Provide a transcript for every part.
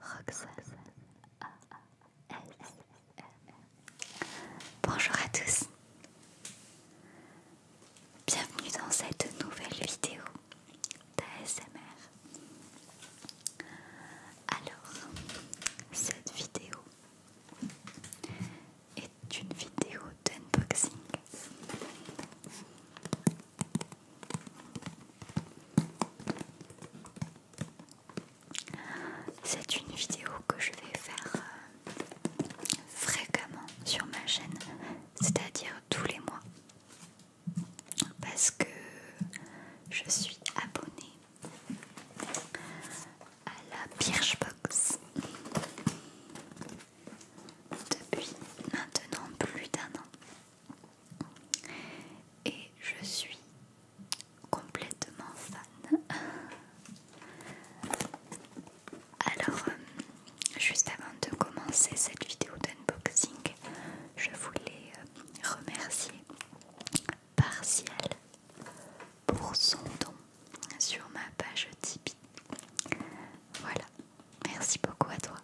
Roxas Bonjour à tous Bienvenue dans cette nouvelle vidéo d'ASMR Alors cette vidéo est une vidéo d'unboxing c'est une vidéo que je vais faire euh, fréquemment sur ma chaîne, c'est-à-dire tous les mois, parce que je suis abonnée à la Birchbox depuis maintenant plus d'un an. Et je suis complètement fan. Alors, euh, juste avant de commencer cette vidéo d'unboxing, je voulais euh, remercier Partiel pour son don sur ma page Tipeee. Voilà, Merci beaucoup à toi.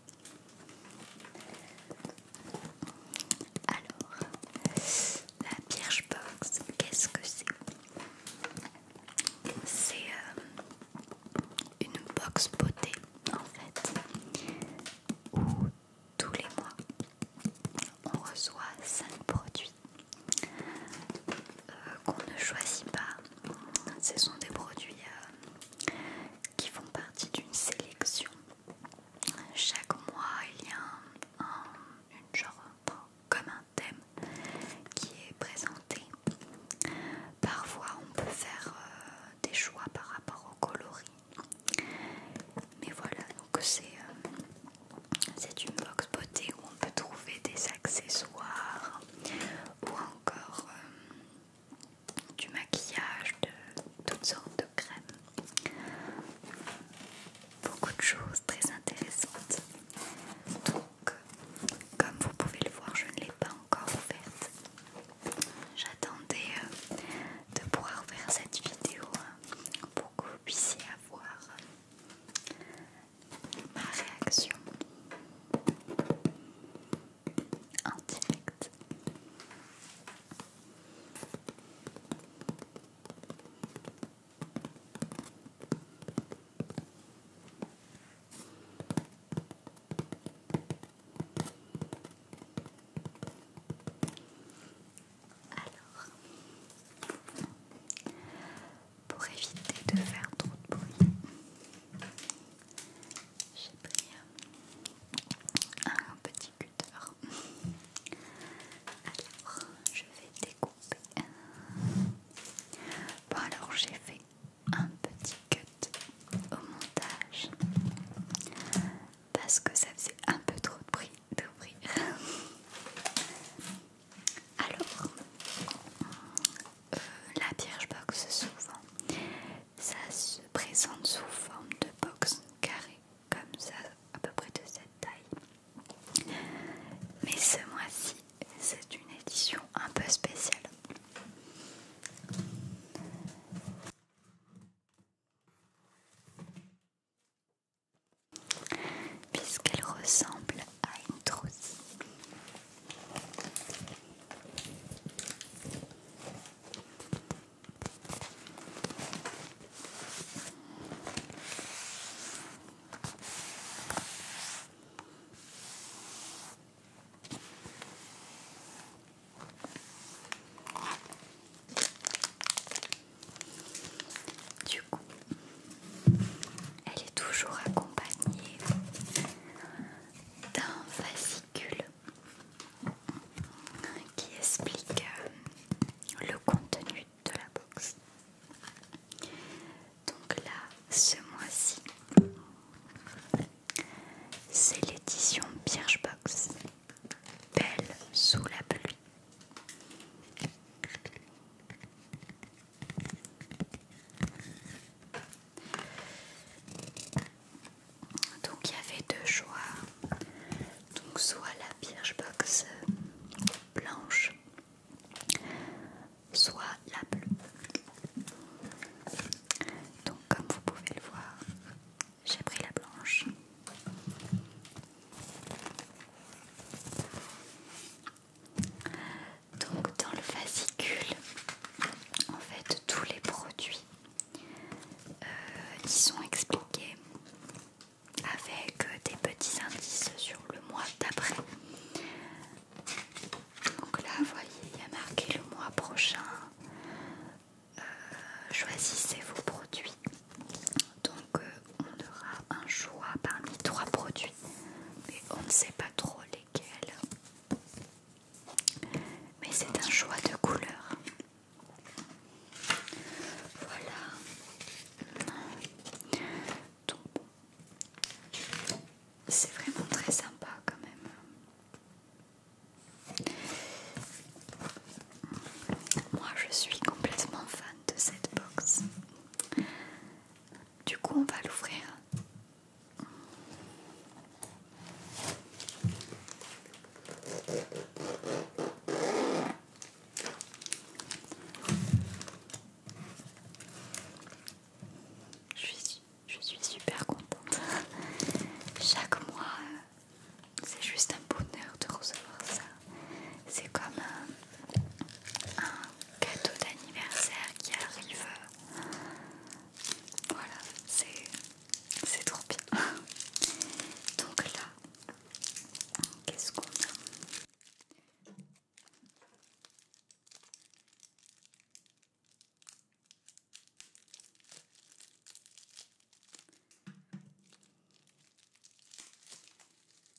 Alors, la Birchbox, qu'est-ce que c'est C'est euh, une box beauté en fait, où tous les mois on reçoit 5 produits euh, qu'on ne choisit pas. Ce sont des produits euh, qui font partie d'une sélection. Chaque mois, il y a un, genre, comme un thème qui est présenté. Parfois, on peut faire euh, des choix par rapport aux coloris. Mais voilà, donc c'est euh, c'est une box beauté où on peut trouver des accessoires ou encore euh, du maquillage, de toutes sortes de crèmes. Beaucoup de choses très intéressantes. Donc, comme vous pouvez le voir, je ne l'ai pas encore ouverte. J'attendais euh, de pouvoir ouvrir cette vidéo hein, pour que vous puissiez avoir euh, ma réaction en Alors, pour éviter de faire trop de bruit, j'ai pris un petit cutter. Alors, je vais découper. Bon, alors j'ai fait un petit cut au montage parce que ça faisait un peu trop de bruit d'ouvrir. Alors, euh, la la boxe souvent. Ça se présente sous forme de box carré, comme ça, à peu près de cette taille. Mais ce mois-ci, c'est une édition un peu spéciale. Puisqu'elle ressemble à une trousse. Du coup, elle est toujours accompagnée d'un fascicule qui explique euh, le contenu de la box. Donc là, ce mois-ci, c'est l'édition Box Belle sous la pluie. Donc il y avait deux choix. Donc soit la Birchbox blanche, soit la bleue. Donc comme vous pouvez le voir, j'ai pris la blanche. Donc dans le fascicule, en fait tous les produits euh, y sont expliqués avec euh, des petits indices sur le mois d'après. Donc là, vous voyez, il y a marqué le mois prochain. Euh, choisissez vos produits. Donc on aura un choix parmi trois produits, mais on ne sait pas trop lesquels mais c'est un choix de couleur. Voilà. C'est vraiment très sympa quand même. Moi je suis complètement fan de cette box. Du coup on va l'ouvrir je suis, je suis super contente. Chaque mois, c'est juste un bonheur de recevoir ça. C'est comme un cadeau d'anniversaire qui arrive. Voilà, c'est trop bien. Donc là, qu'est-ce qu'on a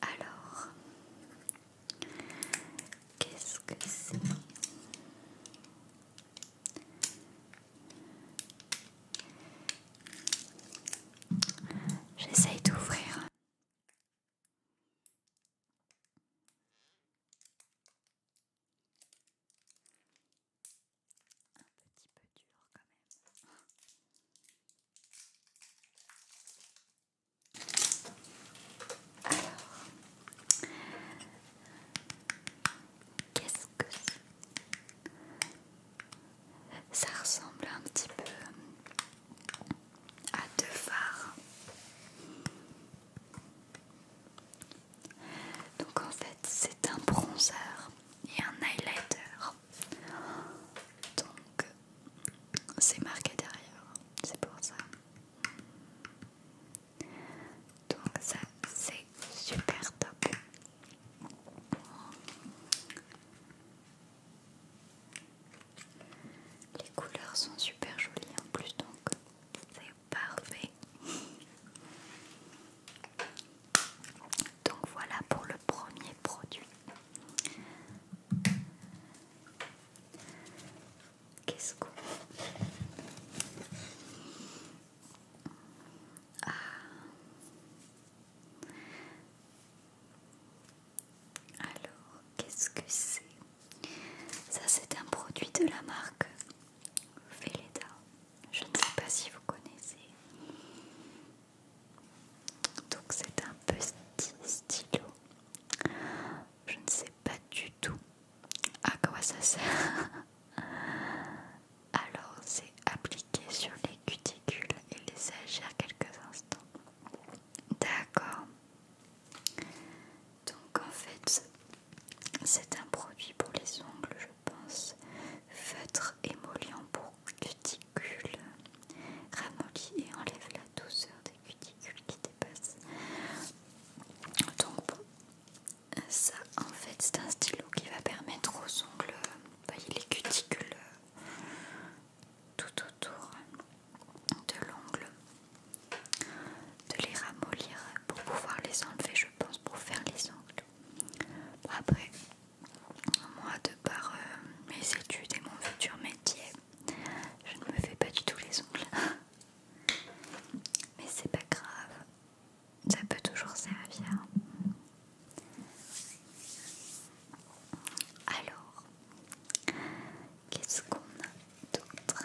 Alors, qu'est-ce que c'est J'essaie d'ouvrir. Un petit peu dur quand même. Alors, qu'est-ce que Ça ressemble un petit peu à deux phares. Donc en fait, c'est un bronzer et un highlighter. Donc c'est marqué derrière, c'est pour ça. Donc ça c'est super top. Les couleurs sont super jolies en plus donc c'est parfait. Donc voilà pour le premier produit. Qu'est-ce Ah. Alors, qu'est-ce que c'est Ça, c'est un produit de la marque Veleda. Je ne sais pas si vous connaissez. Donc c'est un petit stylo. Je ne sais pas du tout à quoi ça sert. Alors c'est appliqué sur les cuticules et les agir quelques instants. D'accord. Donc en fait c'est un produit pour les ongles, pense. Feutre émollient pour cuticules. ramolli et enlève la douceur des cuticules qui dépassent. Donc ça en fait c'est un stylo qui va permettre aux ongles, voyez bah, les cuticules tout autour de l'ongle, de les ramollir pour pouvoir les enlever je pense pour faire les ongles. après moi de par euh, mes études et mon futur métier je ne me fais pas du tout les ongles mais c'est pas grave ça peut toujours servir alors qu'est-ce qu'on a d'autre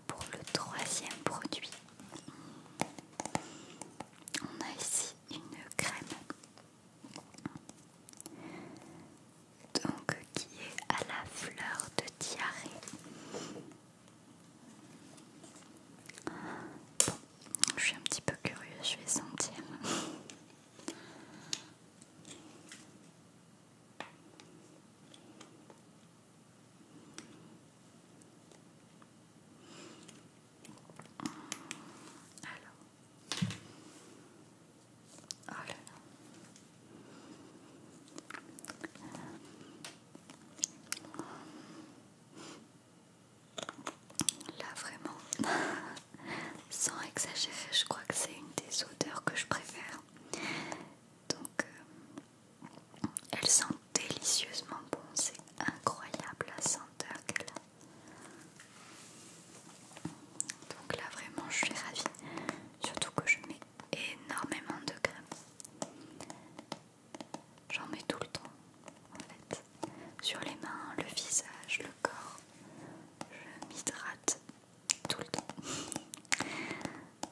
pour le troisième produit, on a ici une crème donc qui est à la fleur de diarrhée. je suis un petit peu curieuse, je vais sentir. Alors. là vraiment, sans exagérer, je crois que c'est une des odeurs que je préfère. Donc, euh, elle sent délicieusement bon, c'est incroyable la senteur qu'elle a. Donc là vraiment je suis ravie, surtout que je mets énormément de crème. J'en mets tout le temps en fait. Sur les mains, le visage, le corps, je m'hydrate tout le temps.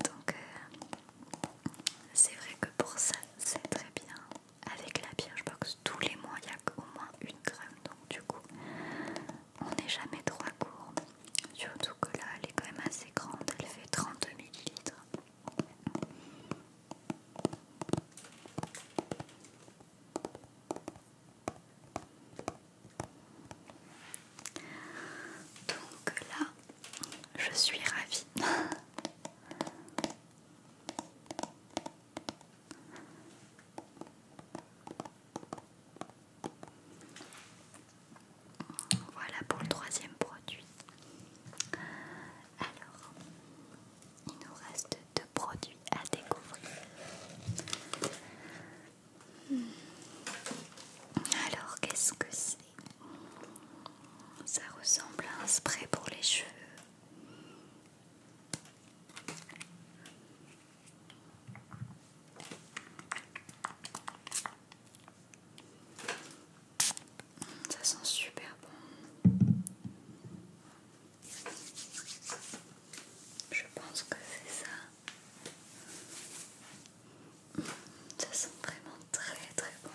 Donc euh, c'est vrai que pour ça c'est très bien. Avec la box tous les mois il y a au moins une crème. Donc du coup on n'est jamais trop à court. Surtout que là elle est quand même assez grande. Elle fait 32 ml. Donc là, je suis ravie. Voilà pour le troisième produit. Alors, il nous reste deux produits à découvrir. Hmm. Alors, qu'est-ce que c'est ça ressemble à un spray pour les cheveux. Ça sent super bon. Je pense que c'est ça. Ça sent vraiment très très bon.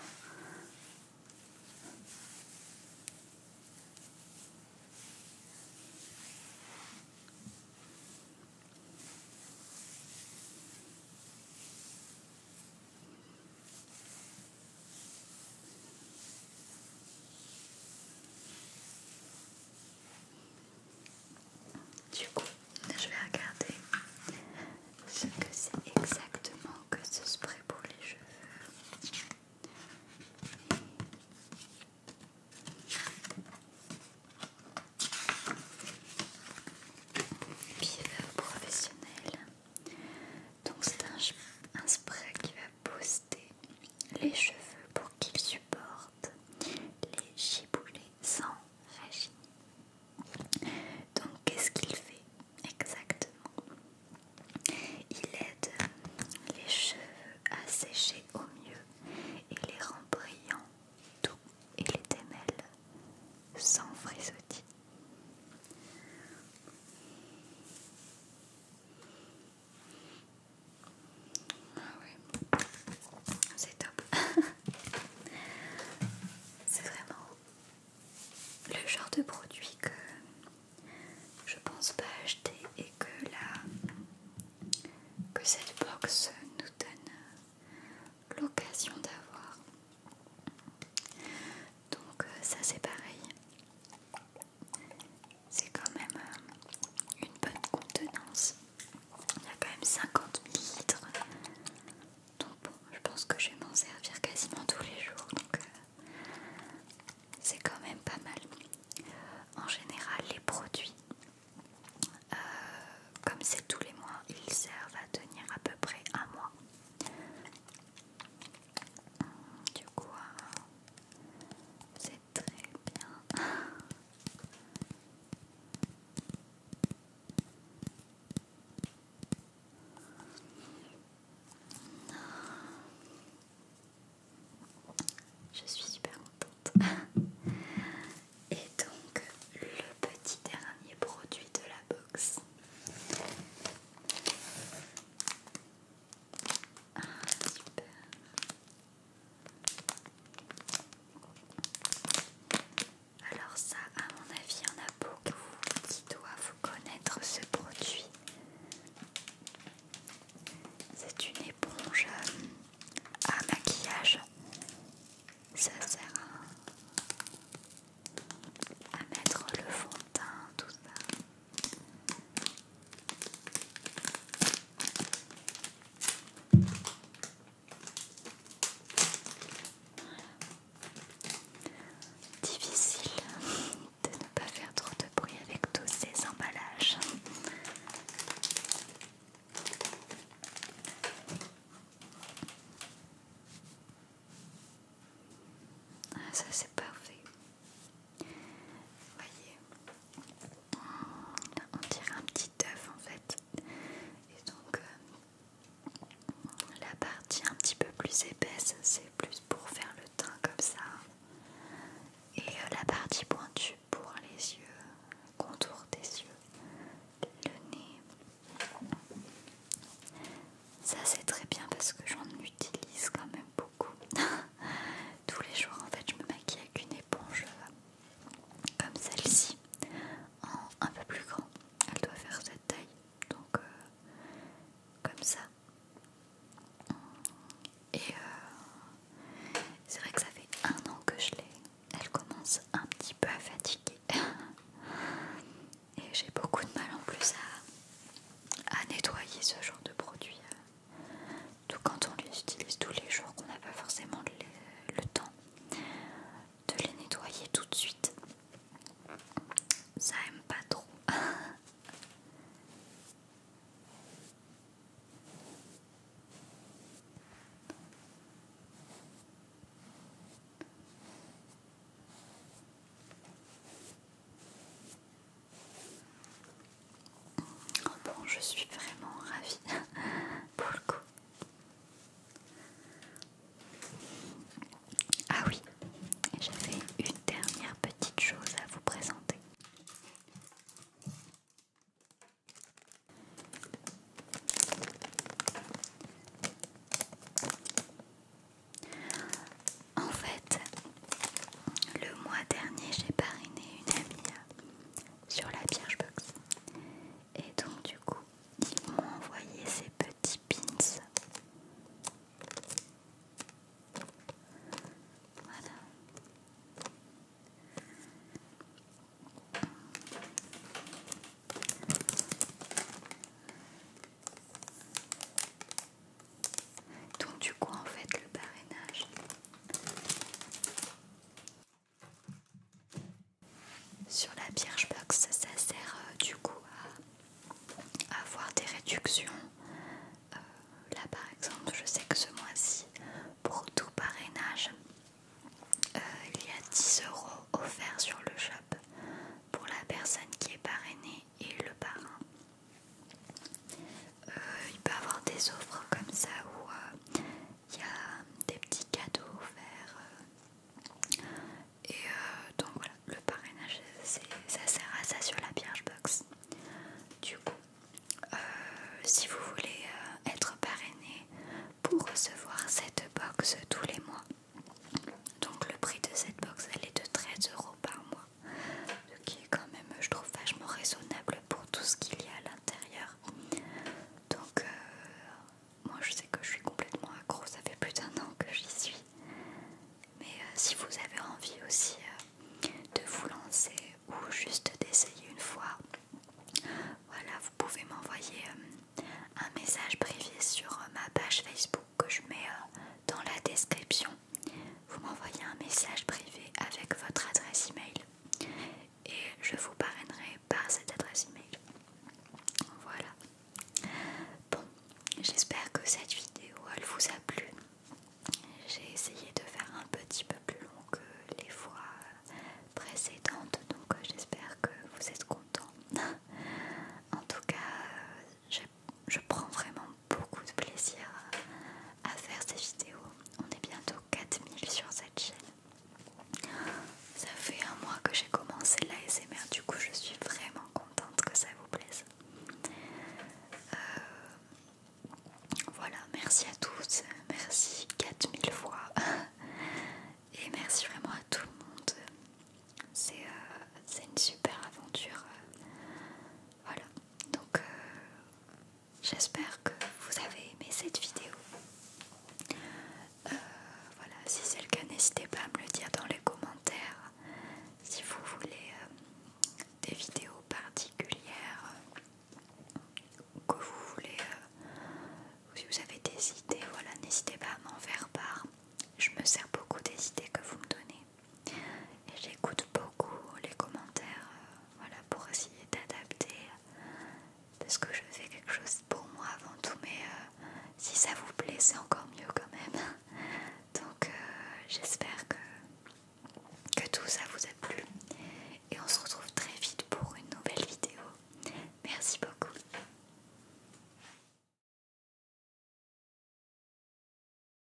Du coup, je vais regarder ce que c'est exactement que ce spray pour les cheveux. Pivot professionnel. Donc c'est un, spray qui va booster les cheveux pour qu'ils supportent les giboulets sans régime. Donc qu'est-ce qu'il fait exactement Il aide les cheveux à sécher au mieux et les rend brillants, doux et les démêle sans frisottis. Ah ouais, c'est top. C'est vraiment le genre de produit que je pense pas acheter et que que cette box nous donne l'occasion d'avoir. Donc euh, ça c'est pareil. C'est quand même euh, une bonne contenance. Il y a quand même 50 litres. Donc bon, je pense que je vais m'en servir quasiment tous les jours. Donc euh, c'est quand même pas mal. En général, les produits, euh, comme c'est tous les mois, ils servent à tenir à peu près un mois. Du coup, euh, c'est très bien. Je suis super contente. Et donc le petit dernier produit de la box. Ah, alors ça, à mon avis, il y en a beaucoup qui doivent connaître ce produit. C'est une éponge euh, à maquillage. Ça sert à, à mettre le fond de teint, tout ça. Difficile de ne pas faire trop de bruit avec tous ces emballages. Ah, ça c'est parfait. Voyez, on dirait un petit œuf en fait. Et donc euh, la partie un petit peu plus épaisse, c'est plus pour faire le teint comme ça. Et euh, la partie pointue pour les yeux, contour des yeux, le nez. Ça c'est très bien parce que j'en utilise quand même beaucoup. Tous les jours en fait je me maquille avec une éponge euh, comme celle-ci en un peu plus grand. Elle doit faire cette taille, donc euh, comme ça. Et euh, c'est vrai que ça fait un an que je l'ai. Elle commence un petit peu à fatiguer. Et j'ai beaucoup de mal en plus à, à nettoyer ce genre de produit. Euh. Tout quand on les utilise tous les jours, qu'on n'a pas forcément le, le temps de les nettoyer tout de suite. Ça aime pas trop. Oh bon, je suis vraiment ravie pour le coup. Ah oui, j'avais une dernière petite chose à vous présenter. En fait, le mois dernier, j'ai parrainé une amie sur la Birchbox. Et donc du coup, ils m'ont envoyé ces petits pins. Voilà. Donc du coup en fait le parrainage sur la box ça sert euh, du coup à, avoir des réductions. Euh, là par exemple, je sais que ce mois-ci, pour tout parrainage, euh, il y a 10 euros offerts sur le shop pour la personne qui est parrainée et le parrain. Euh, il peut y avoir des offres comme ça où euh, il y a des petits cadeaux offerts. Euh, et donc voilà, le parrainage, ça sert à ça sur la box Du coup, si vous voulez être parrainé pour recevoir cette box tous les mois, donc le prix de cette box elle est de 13 euros par mois ce qui est quand même, je trouve, vachement raisonnable pour tout ce qu'il y a à l'intérieur. Donc, euh, moi je sais que je suis complètement accro, ça fait plus d'un an que j'y suis. Mais euh, si vous avez envie aussi euh, de vous lancer ou juste d'essayer une fois, voilà, vous pouvez m'envoyer un message privé sur ma page Facebook que je mets dans la description vous m'envoyez un message privé avec votre adresse email et je vous parrainerai par cette adresse email. Voilà. Bon, j'espère que cette vidéo elle vous a plu. J'ai essayé de faire un petit peu plus long que les fois précédentes, donc j'espère que vous êtes contents. en tout cas, je, je prends vraiment beaucoup de plaisir à faire ces vidéos. On est bientôt 4000 sur cette chaîne. Ça fait un mois que j'ai commencé l'ASMR, du coup je suis vraiment contente que ça vous plaise. Euh, voilà, merci à tous, merci 4000 fois et merci vraiment à tout le monde. C'est euh, une super aventure. Voilà, donc, euh, j'espère que vous avez aimé cette vidéo. Euh, voilà, si c'est le cas, n'hésitez pas à me le dire dans les commentaires. Si vous voulez euh, des vidéos particulières que vous voulez, si vous avez des idées, voilà, n'hésitez pas à m'en faire part. Je me sers beaucoup des idées que vous me donnez et j'écoute beaucoup les commentaires euh, voilà, pour essayer d'adapter euh, parce que je fais quelque chose pour moi avant tout mais euh, si ça vous plaît c'est encore mieux quand même donc j'espère que, que tout ça vous a plu et on se retrouve très vite pour une nouvelle vidéo merci beaucoup